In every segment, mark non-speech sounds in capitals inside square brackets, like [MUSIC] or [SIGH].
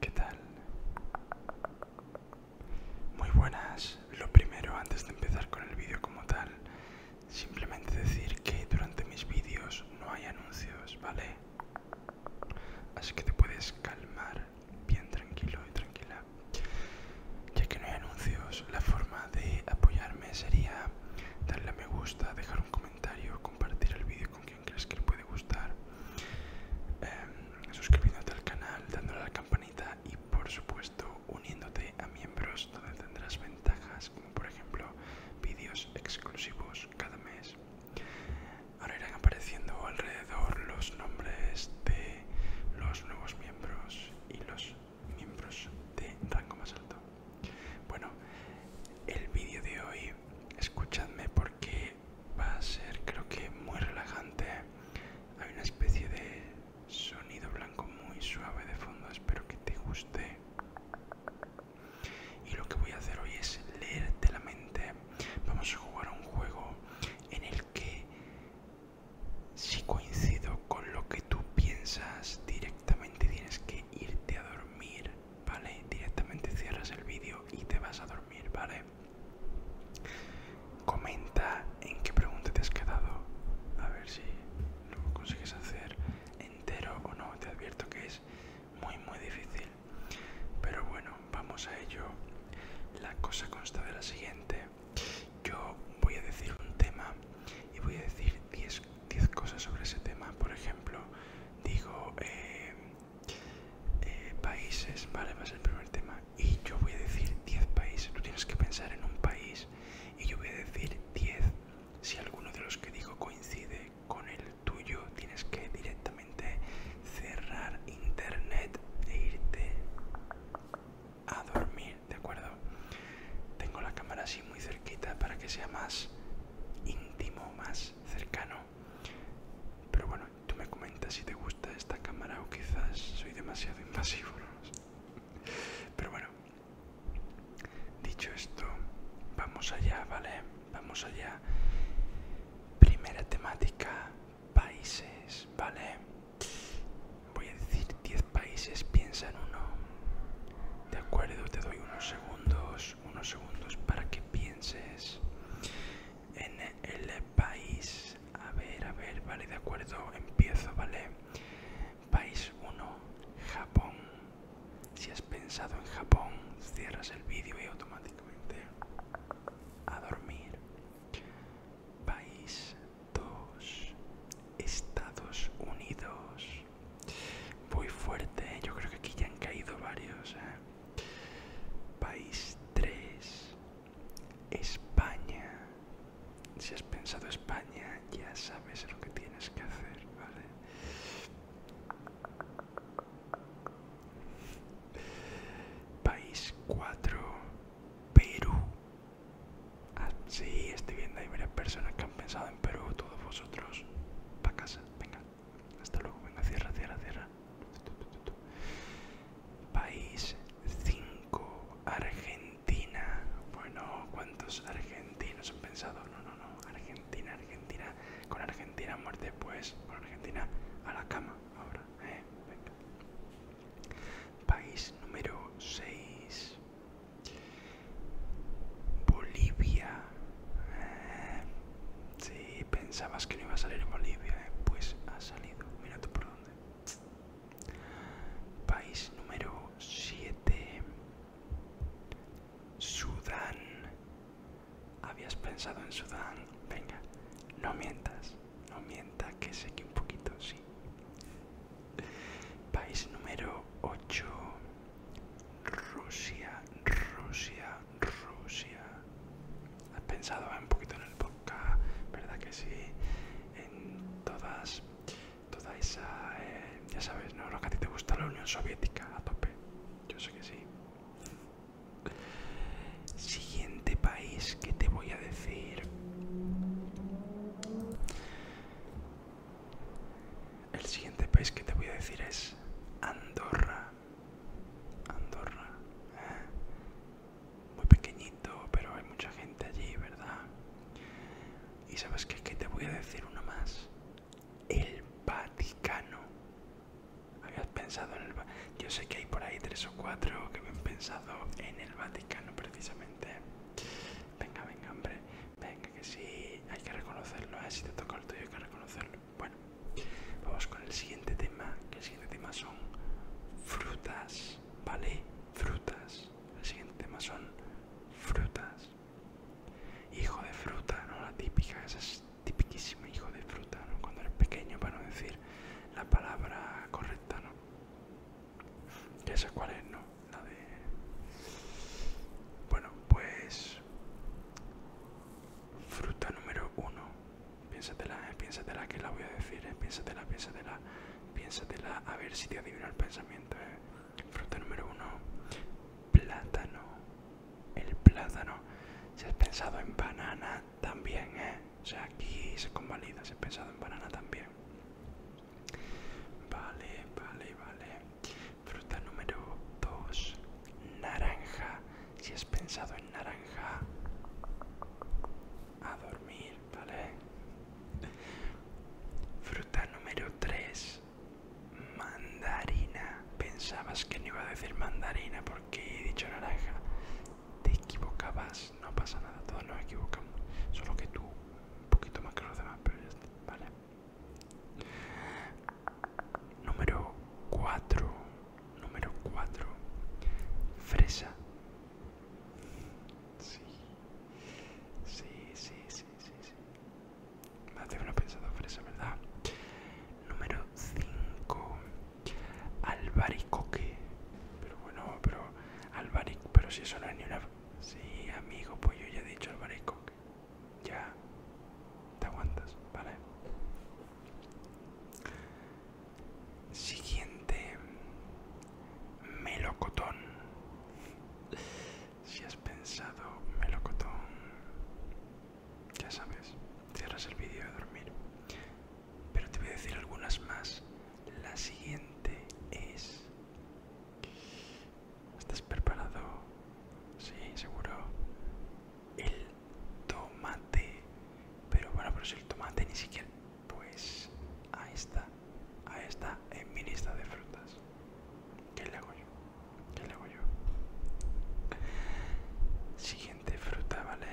¿Qué tal? Muy buenas. Lo primero, antes de empezar con el vídeo como tal, simplemente decir que durante mis vídeos no hay anuncios, ¿vale? Así que te puedes calmar bien tranquilo y tranquila. Ya que no hay anuncios, la forma de apoyarme sería darle a me gusta, dejar un comentario, compartir el vídeo con crees que le puede gustar. Em, suscribiéndote al canal, dándole a la campanita y por supuesto uniéndote a miembros donde tendrás ventajas como por ejemplo vídeos exclusivos cada mes. Ahora irán apareciendo alrededor los nombres de los nuevos miembros y los miembros de rango más alto. Bueno, el vídeo de hoy, escuchadme porque va a ser creo que muy relajante. Hay una especie de sonido blanco muy suave de fondo, espero que te guste. Y lo que voy a hacer hoy es leerte la mente. Vamos a jugar a un juego en el que si coincido con lo que tú piensas directamente tienes que irte a dormir ¿vale? Directamente cierras el vídeo y te vas a dormir, ¿vale? Comenta en qué pregunta te has quedado, a ver si lo consigues hacer entero o no, te advierto que es muy muy difícil. Pero bueno, vamos a ello. La cosa consta de la siguiente. Yo voy a decir un tema y voy a decir 10 cosas sobre ese tema. Por ejemplo, digo eh, eh, países, vale, va el primer tema. Y yo voy a decir 10 países, tú tienes que pensar en un país y yo voy a decir 10. Si alguno de los que digo coincide con el tuyo, tienes que directamente cerrar internet e irte a dormir, ¿de acuerdo? Tengo la cámara así muy cerquita para que sea más íntimo, más cercano. Pero bueno, tú me comentas si te gusta esta cámara o quizás soy demasiado invasivo. Pero bueno, dicho esto, vamos allá, ¿vale? Vamos allá. Primera temática, países, ¿vale? Voy a decir 10 países, piensa en uno. De acuerdo, te doy unos segundos unos, segundos para que pienses en el país. A ver, a ver, vale, de acuerdo, empiezo, vale. País 1, Japón. Si has pensado en Japón, cierras el vídeo y automáticamente a dormir. País 2, Estados Unidos. Muy fuerte, ¿eh? yo creo que aquí ya han caído varios. ¿eh? País 3. España. Si has pensado España, ya sabes lo que tienes que hacer, ¿vale? País 4. Perú. Ah, sí, estoy viendo, hay varias personas que han pensado en Perú, todos vosotros. para casa, venga. Hasta luego, venga, cierra, cierra, cierra. País 5, Argentina. Bueno, ¿cuántos argentinos han pensado? No, no, no, Argentina, Argentina. Con Argentina muerte, pues, con Argentina a la cama ahora, ¿eh? Venga. País número 6. Bolivia si pensabas que no iba a salir en Bolivia, eh. pues ha salido. Mira tú por dónde. País número 7. Sudán. ¿Habías pensado en Sudán? Venga, no mientas. No mienta que sé que un poquito sí. País número 8. Rusia, Rusia, Rusia. ¿Has pensado un poquito en el vodka, ¿Verdad que sí? En todas, toda esa, eh, ya sabes, ¿no? Lo que a ti te gusta, la Unión Soviética, a tope. Yo sé que sí. Siguiente país que te voy a decir. El siguiente país que te voy a decir es Andorra. Andorra. ¿eh? Muy pequeñito, pero hay mucha gente allí, ¿verdad? Y sabes qué, que te voy a decir uno más. El Vaticano. Habías pensado en el Yo sé que hay por ahí tres o cuatro que me han pensado en el Vaticano precisamente. Venga, venga, hombre. Venga, que sí. Hay que reconocerlo. ¿eh? Si te toca el tuyo hay que reconocerlo. Bueno, vamos con el siguiente tema, que el siguiente tema son frutas, ¿vale? Frutas. El siguiente tema son frutas. Hijo de fruta, ¿no? La típica, esa es tipiquísima, hijo de fruta, ¿no? Cuando eres pequeño, para no decir la palabra correcta, ¿no? Esa esa cuál es, ¿no? La de... Bueno, pues... Fruta número uno. Piénsatela, eh, piénsatela que la voy a decir, eh, piénsatela, piénsatela, piénsatela, a ver si te adivino el pensamiento. Eh. Fruta número uno. Plátano. El plátano. Si has pensado en banana también, O sea, aquí se convalida, si has pensado en banana también. Vale, vale, vale. Fruta número 2 naranja. Si has pensado en naranja, a dormir, ¿vale? Fruta número 3, mandarina. Pensabas que no iba a decir mandarina porque he dicho naranja. Te equivocabas, no pasa nada, todos nos equivocamos. Solo que tú, un poquito más que los demás, pero ya está, ¿vale? Número 4. Número 4. Fresa. Sí. Sí, sí, sí, sí, Me Más de pensado fresa, ¿verdad? Número 5. Albaricoque. Pero bueno, pero albaricoque, pero si eso no es ni una... Sí, amigo, pues yo ya he dicho albaricoque. Ya. Te aguantas, ¿vale? Siguiente melocotón. Si has pensado melocotón, ya sabes, cierras el vídeo de dormir. Pero te voy a decir algunas más. La siguiente es... ¿Estás preparado? Sí, seguro. El tomate pero bueno pero si el tomate ni siquiera pues ahí está a esta en eh, mi lista de frutas ¿Qué le hago yo? ¿Qué le hago yo? Siguiente fruta, ¿vale?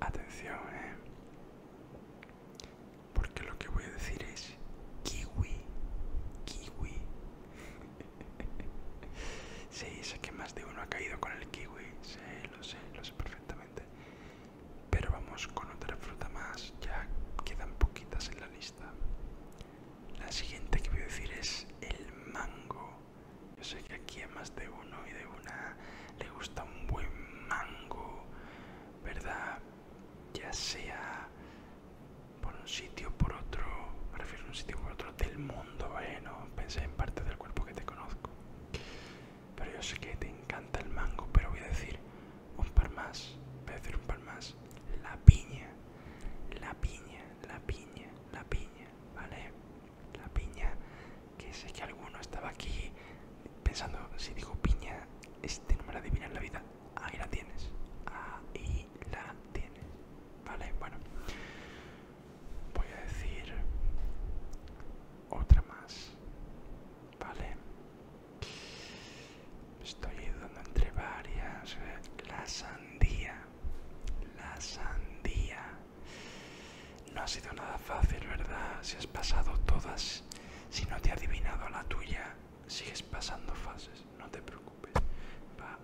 Atención, eh. Porque lo que voy a decir es kiwi. Kiwi sí, sé que más de uno ha caído con el kiwi, sí, lo sé, lo sé perfectamente. Pero vamos con otra fruta más, ya quedan poquitas en la lista. La siguiente que voy a decir es el mango. Yo sé que aquí a más de uno y de una le gusta un buen mango, ¿verdad? Ya sea por un sitio por otro, me refiero a un sitio por otro del mundo bueno, pensé en parte del cuerpo que te conozco. Pero yo sé que te encanta el mango, pero voy a decir un par más. Voy a decir un par más. La piña, la piña, la piña, la piña, ¿vale? La piña, que sé que alguno estaba aquí pensando, si digo piña, este no me la adivina en la vida. Ahí la tienes, ahí la tienes, ¿vale? Bueno, voy a decir otra más vale estoy dando entre varias eh, la sandía la sandía no ha sido nada fácil verdad si has pasado todas si no te he adivinado la tuya sigues pasando fases no te preocupes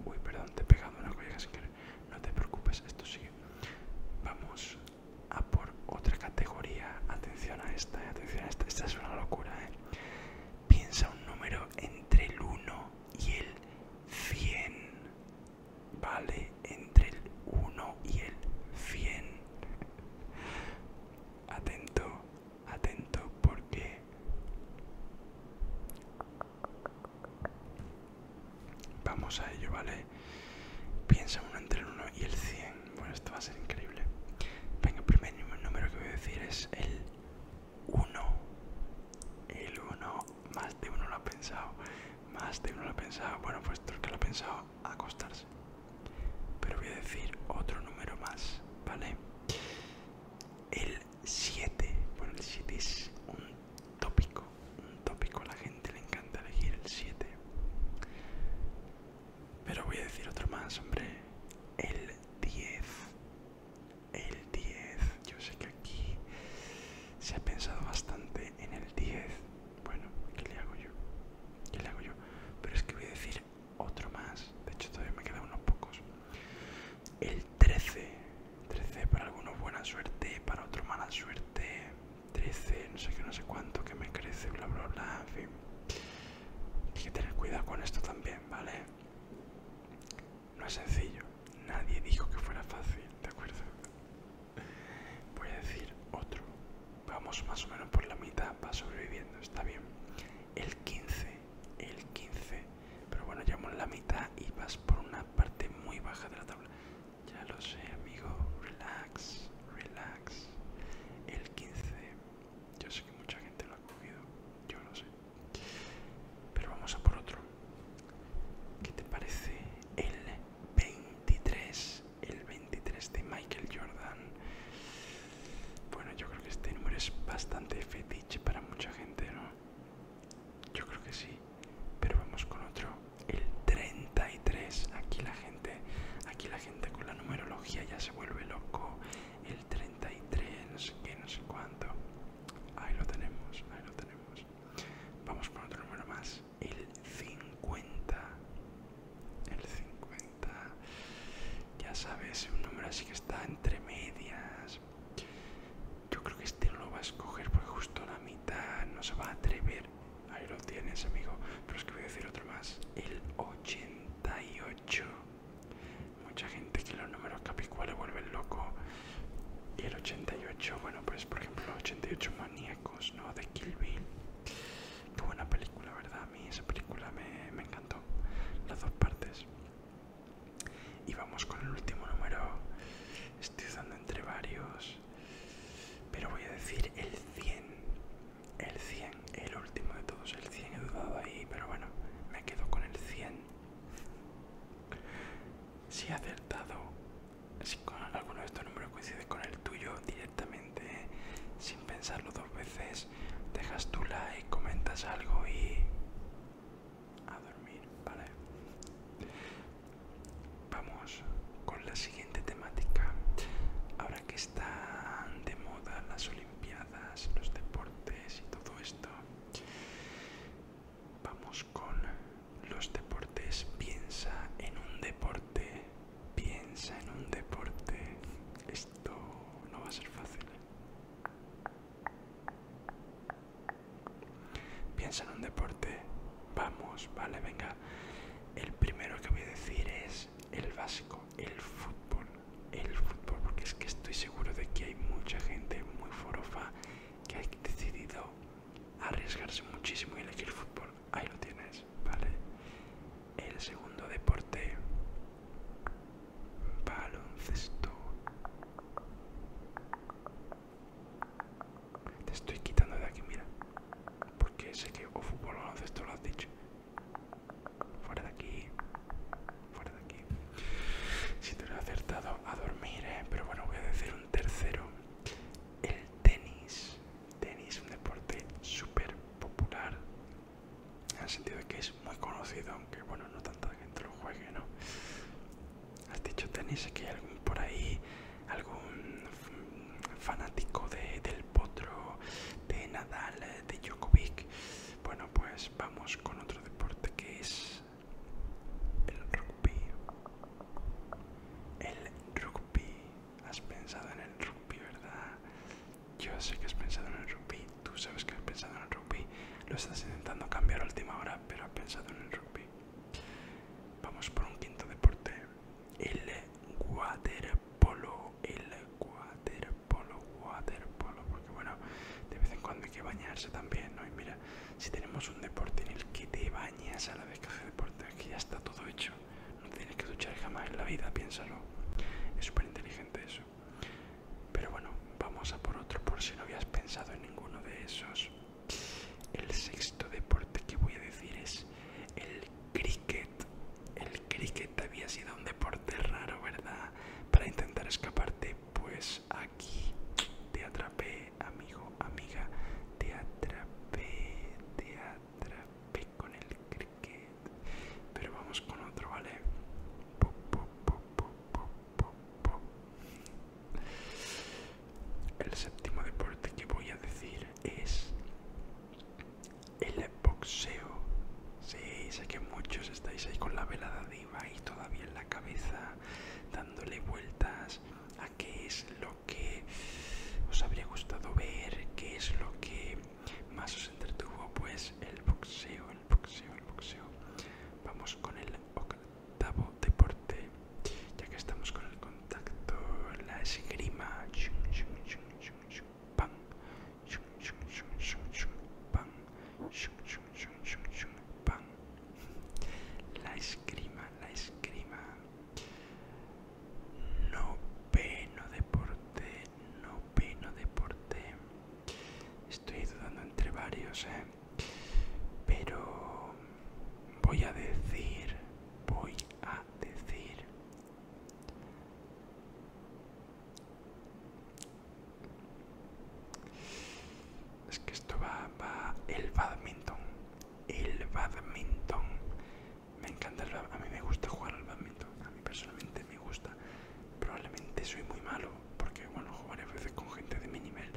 uy, perdón, te he pegado una colega sin querer. No te preocupes, esto sí. Vamos a por otra categoría. Atención a esta, eh, atención a esta. Esta es una locura, ¿eh? Piensa un número entre el 1 y el 100. Vale, entre el 1 y el 100. Atento, atento porque Vamos a ello, ¿vale? Piensa uno entre el 1 y el 100. Bueno, esto va a ser increíble. Venga, el primer número que voy a decir es el 1. El 1. Más de uno lo ha pensado. Más de uno lo ha pensado. Bueno, pues el que lo ha pensado, acostarse. Pero voy a decir otro número más, ¿vale? El 7. Bueno, el 7 es un tópico. Un tópico, a la gente le encanta elegir el 7. Pero voy a decir otro más, hombre. El 10. El 10. Yo sé que aquí se ha pensado bastante en el 10. Bueno, ¿qué le hago yo? ¿Qué le hago yo? Pero es que voy a decir otro más. De hecho, todavía me quedan unos pocos. El 13. 13 para algunos buena suerte, para otros mala suerte. 13, no sé qué, no sé cuánto, que me crece, bla, bla, bla, en fin. Hay que tener cuidado con esto también, ¿vale? No es sencillo. Nadie dijo que fuera fácil, ¿de acuerdo? Voy a decir otro. Vamos más o menos por la mitad, va sobreviviendo, está bien. El 15, el 15 pero bueno, llevamos la mitad y vas por una parte muy baja de la tabla. Ya lo sé, amigo. Relax, relax. El 15. Yo sé que mucha gente lo ha cogido. Yo lo sé. Pero vamos a por otro. ¿Qué te parece el 23? El 23 de Michael Jordan. Bueno, yo creo que este número es bastante fetiche para mucha gente, ¿no? Yo creo que sí. Pero vamos con otro. El 33. Aquí la gente, aquí la gente con la numerología ya se vuelve loco. El 33, que no sé cuánto. Ahí lo tenemos, ahí lo tenemos. Vamos con otro número más. El 50. El 50. Ya sabes, un número así que está entre medias yo creo que este no lo va a escoger porque justo la mitad no se va a atrever. Ahí lo tienes, amigo. Pero es que voy a decir otro más. El 88. Mucha gente que los números capicuales vuelven loco. Y el 88, bueno, pues por ejemplo, 88 maníacos, ¿no? De Kill Qué buena película, ¿verdad? A mí esa película me, me encantó. Las dos partes. Y vamos con el último número. Estoy usando entre varios. Pero voy a decir el 100. El 100, el último de todos. El 100 he dudado ahí, pero bueno, me quedo con el 100. Si he acertado, si con alguno de estos números coincide con el tuyo directamente, ¿eh? sin pensarlo dos veces, dejas tu like, comentas algo y a dormir, ¿vale? Vamos con la siguiente temática. Ahora que están de moda las Olimpiadas, los deportes y todo esto, vamos con los deportes. Piensa en un deporte, piensa en un deporte. Esto no va a ser fácil. Piensa en un deporte. Vamos, vale, venga. El primero que voy a decir es el básico, el fútbol. El fútbol, porque es que estoy seguro de que hay mucha gente muy forofa que ha decidido arriesgarse muchísimo y elegir fútbol. Ahí lo tienes, vale. El segundo deporte, baloncesto. Te estoy quitando de aquí, mira. Porque sé que o fútbol o esto, lo has dicho. Fuera de aquí. Fuera de aquí. Si te lo he acertado, a dormir, ¿eh? Pero bueno, voy a decir un tercero. El tenis. Tenis, un deporte súper popular. En el sentido de que es muy conocido, aunque bueno, no tanta gente lo juegue, ¿no? Has dicho tenis, que hay algún por ahí, algún fanático de, del potro, de Nadal, de Djokovic. Bueno, pues vamos con otro deporte que es el rugby. El rugby. Has pensado en el rugby, ¿verdad? Yo sé que has pensado en el rugby. Tú sabes que has pensado en el rugby. Lo estás intentando cambiar a última hora, pero has pensado en el rugby. Vamos por un quinto deporte. El waterpolo. El waterpolo, waterpolo. Porque bueno, de vez en cuando hay que bañarse también, Y mira, si tenemos un deporte en el que te bañas a la vez que haces deporte, aquí ya está todo hecho. No tienes que duchar jamás en la vida, piénsalo. Es súper inteligente eso. Pero bueno, vamos a por otro por si no habías pensado en ninguno de esos. El sexto deporte que voy a decir es el cricket. El cricket había sido un deporte raro, ¿verdad? Para intentar escaparte, pues aquí te atrapé, amigo, amiga. Te atrapé, te atrapé con el cricket. Pero vamos con otro, ¿vale? El séptimo deporte que voy a decir es el boxeo. Sí, sé que muchos estáis ahí con la velada de y todavía en la cabeza, dándole vueltas a qué es lo que os habría gustado ver, qué es lo que más os entretuvo, pues el boxeo, el boxeo, el boxeo. Vamos con el octavo deporte, ya que estamos con el contacto, la esgrima. la Pan. La esgrima, la esgrima. no deporte, no no deporte. Estoy dudando entre varios, ¿eh? Pero voy a decir, voy a decir es que esto va, va el badminton, el badminton, me encanta el a mí me gusta jugar al badminton, a mí personalmente me gusta, probablemente soy muy malo, porque bueno, jugar a veces con gente de mi nivel,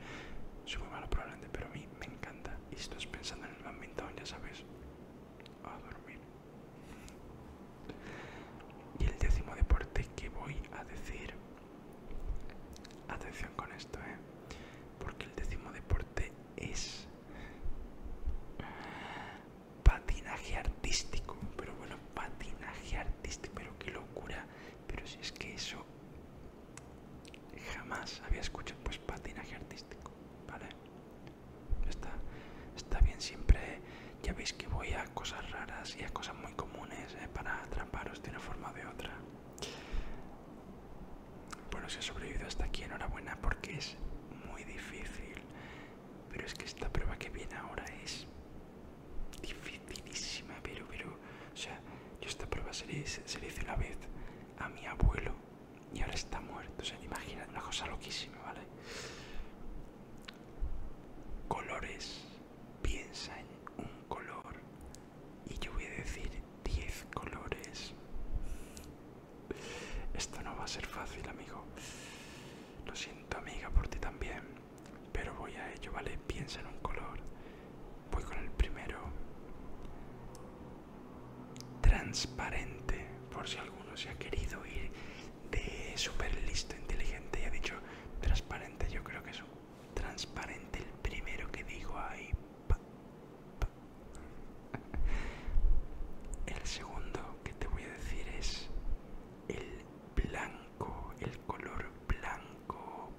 soy muy malo probablemente, pero a mí me encanta. Y si estás pensando en el ambiente, ya sabes, a dormir. Y el décimo deporte que voy a decir, atención con esto, ¿eh? porque el décimo deporte es patinaje artístico. Pero bueno, patinaje artístico, pero qué locura. Pero si es que eso jamás había escuchado pues patinaje artístico vale está bien siempre ya veis que voy a cosas raras y a cosas muy comunes ¿eh? para atraparos de una forma o de otra bueno si he sobrevivido hasta aquí enhorabuena porque es muy difícil pero es que esta prueba que viene ahora es dificilísima pero o sea yo esta prueba se se le hice una vez a mi abuelo y ahora está muerto. se imagina una cosa loquísima, ¿vale? Colores, piensa en un color y yo voy a decir 10 colores. Esto no va a ser fácil, amigo. Lo siento, amiga, por ti también. Pero voy a ello, ¿vale? Piensa en un color. Voy con el primero transparente, por si alguno se ha querido ir de super listo, inteligente y ha dicho transparente, yo creo que es un transparente el primero que digo ahí. El segundo que te voy a decir es el blanco, el color blanco.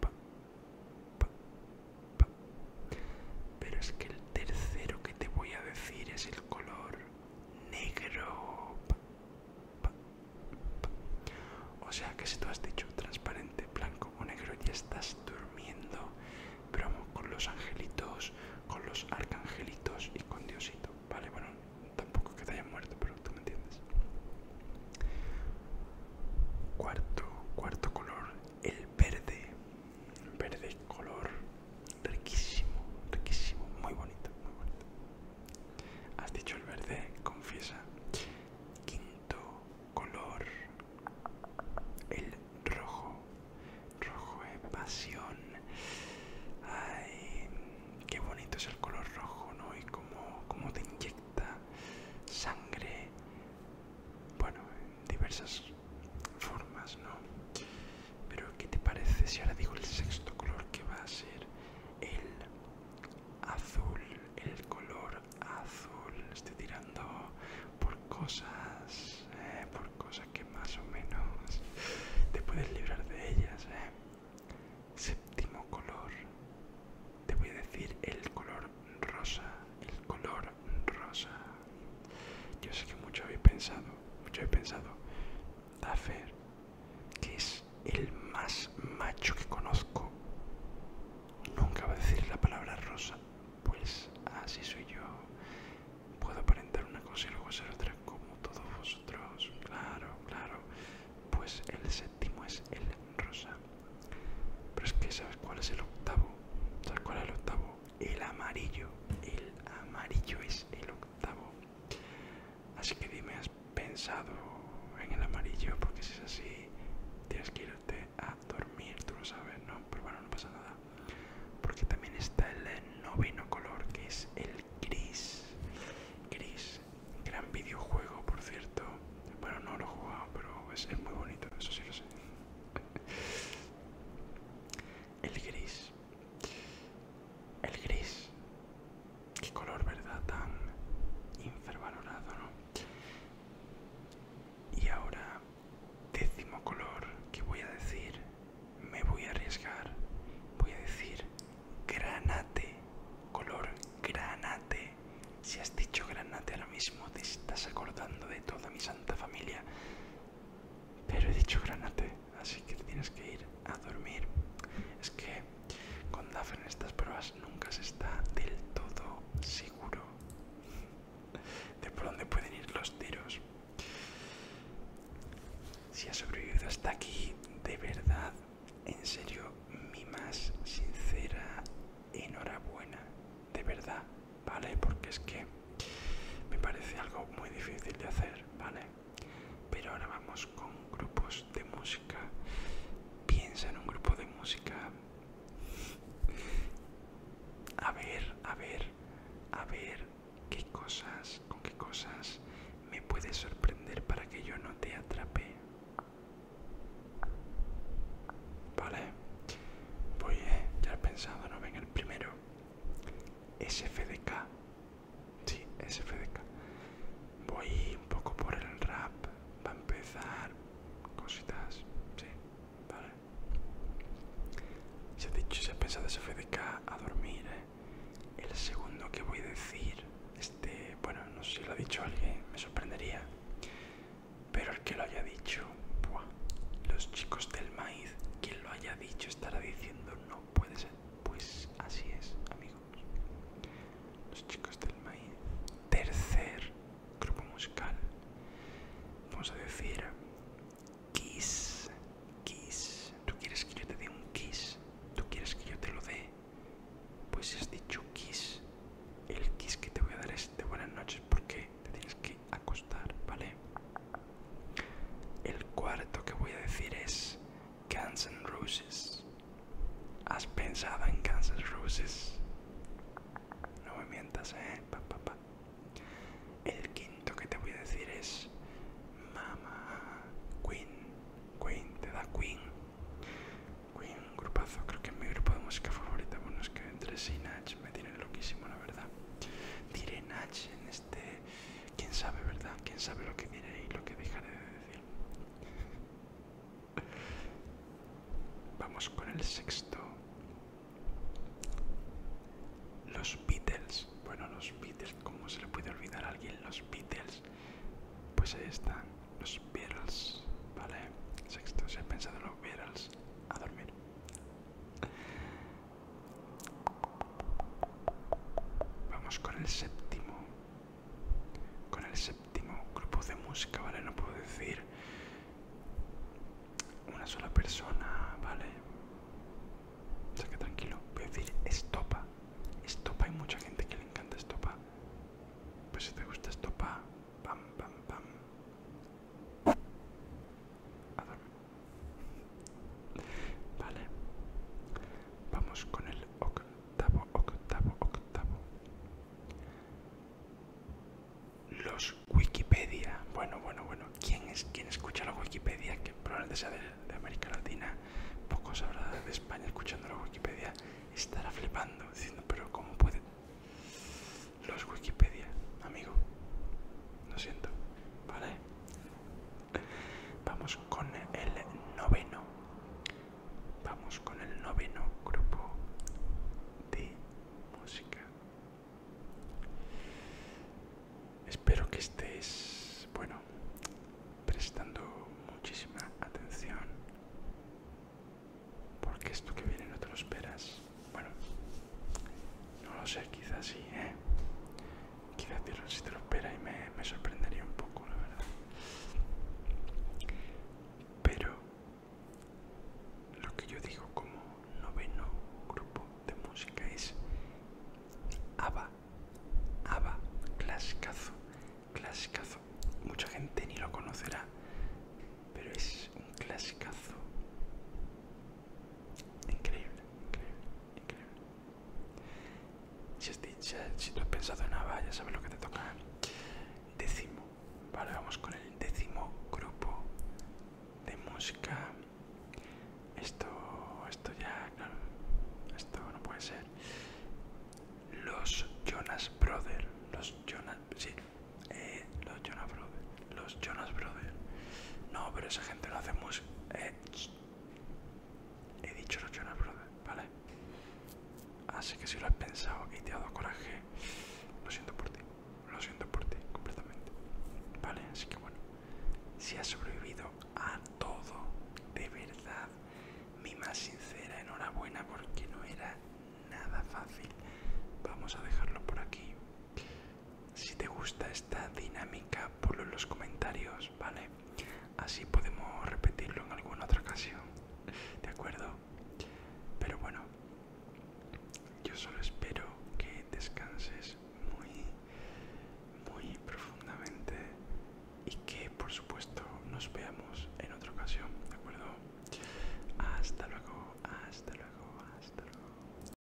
Pero es que el tercero que te voy a decir es el color negro. O sea que si tú has dicho transparente, blanco o negro ya estás durmiendo, vamos con los angelitos, con los arcangelitos y con Diosito. Vale, bueno, tampoco que te hayan muerto, pero tú me entiendes. Cuarto, cuarto color, el verde verde color riquísimo, riquísimo, muy bonito, muy bonito. Has dicho el verde, confiesa. Quinto color, el rojo. Rojo es pasión. Ay, qué bonito es el color rojo, ¿no? Y como como te inyecta sangre. Bueno, diversas formas, ¿no? Pero ¿qué te parece si ahora digo el sexto color que va a ser el azul? El color azul. Estoy tirando por cosas, eh, por cosas que más o menos te puedes librar de ellas, ¿eh? Séptimo color. Te voy a decir el color rosa, el color rosa. Yo sé que mucho habéis pensado, mucho habéis pensado, dafé que es el más macho que conozco, nunca va a decir la palabra rosa. Pues así soy yo. Puedo aparentar una cosa y luego ser otra como todos vosotros. Claro, claro. Pues el séptimo es el rosa. Pero es que, ¿sabes cuál es el octavo? ¿Sabes cuál es el octavo? el amarillo. El amarillo es el octavo. Así que dime, ¿has pensado en el amarillo? Porque si es así, tienes que irte a dormir, tú lo sabes, ¿no? Pero bueno, no pasa nada. Porque también está el noveno color, que es el gris. Gris, gran videojuego, por cierto. Bueno, no lo he jugado, pero es, es muy bonito, eso sí lo sé. [LAUGHS] El gris. El gris. Qué color, ¿verdad? Tan infervalorado, Y ahora, décimo color que voy a decir, me voy a arriesgar, voy a decir granate, color granate. Si has dicho granate ahora mismo, te estás acordando de toda mi santa familia. Pero he dicho granate, así que tienes que ir a dormir. Es que con DAF en estas pruebas nunca se está del todo seguro de por dónde pueden ir los tiros. Si has sobrevivido hasta aquí, de verdad, en serio, mi más sincera enhorabuena. De verdad, ¿vale? Porque es que me parece algo muy difícil de hacer, ¿vale? Pero ahora vamos con grupos de música. Piensa en un grupo de música. A ver, a ver, a ver qué cosas, con qué cosas me puedes sorprender para que yo no te atrape. Vale, voy, eh, ya he pensado, no venga primero, SFDK. Sí, SFDK. Voy un poco por el rap, va a empezar cositas, sí, vale. Se ha dicho, se ha pensado SFDK a dormir, ¿eh? El segundo que voy a decir, este, bueno, no sé si lo ha dicho alguien, me sorprendería. Pero el que lo haya dicho, los chicos del maíz, quien lo haya dicho estará diciendo no puede ser. Pues así es, amigos. Los chicos del maíz. Tercer grupo musical. Vamos a decir Kiss. Kiss. ¿Tú quieres que yo te dé un kiss? ¿Tú quieres que yo te lo dé? Pues has dicho kiss, el kiss que te voy a dar es de buenas noches porque te tienes que acostar, ¿vale? El cuarto que voy a decir es Guns N' Roses. ¿Has pensado en Guns Roses? No me mientas, ¿eh? El quinto que te voy a decir es Mama Queen. Queen, te da Queen. Queen, grupazo, creo que es mi grupo de música favorita. Bueno, es que entre Sina me tiene loquísimo, la verdad. Diré en este. Quién sabe, ¿verdad? Quién sabe lo que diré y lo que dejaré de decir. [LAUGHS] Vamos con el sexto. Los Beatles. Bueno, los Beatles, ¿cómo se le puede olvidar a alguien los Beatles? Pues ahí están, los Beatles. Vale, sexto, se ha pensado los Beatles. A dormir. Vamos con el séptimo. Con el séptimo grupo de música, ¿vale? No puedo decir una sola persona, ¿vale? O sea que tranquilo, voy a decir estopa. Estopa, hay mucha gente que le encanta estopa. Pues si te gusta estopa, pam, pam, pam. Vale. Vamos con el octavo, octavo, octavo. Los Wikipedia. Bueno, bueno, bueno. ¿Quién es quién escucha la Wikipedia? Que probablemente sea de, América Latina. Pocos sabrá de España escuchando la Wikipedia. Estará flipando, diciendo, pero ¿cómo puede? los Wikipedia, amigo. Lo siento, ¿vale? Vamos con el noveno. Vamos con el noveno grupo de música. Espero que estés, bueno, prestando muchísima atención. Porque esto que viene no te lo esperas. Bueno, no lo sé, quizás sí, ¿eh? Quizás si te lo espera y me, sorprendería un poco, la verdad. Pero lo que yo digo como noveno grupo de música es ABBA, ABBA, clasicazo, clasicazo. Mucha gente ni lo conocerá, pero es un clasicazo Increíble, increíble, increíble. Si, has, has pensado en nada, ya sabes lo que te toca. Décimo, vale, vamos con el décimo grupo de música. Esto, esto ya, esto no puede ser. Los Jonas Brothers, los Jonas, sí, eh, los Jonas Brothers. Los Jonas Brothers. No, pero esa gente lo hace muy... Eh, he dicho los Jonas Brothers, ¿vale? Así que si lo has pensado y te ha dado coraje, lo siento por ti. Lo siento por ti, completamente. ¿Vale? Así que bueno. Si has sobrevivido a todo, de verdad, mi más sincera enhorabuena porque no era nada fácil. Vamos a dejarlo por aquí. Si te gusta esta dinámica, ponlo en los comentarios, ¿vale? Así podemos repetirlo en alguna otra ocasión, ¿de acuerdo? Pero bueno, yo solo espero que descanses muy, muy profundamente y que por supuesto nos veamos en otra ocasión, ¿de acuerdo? Hasta luego, hasta luego, hasta luego.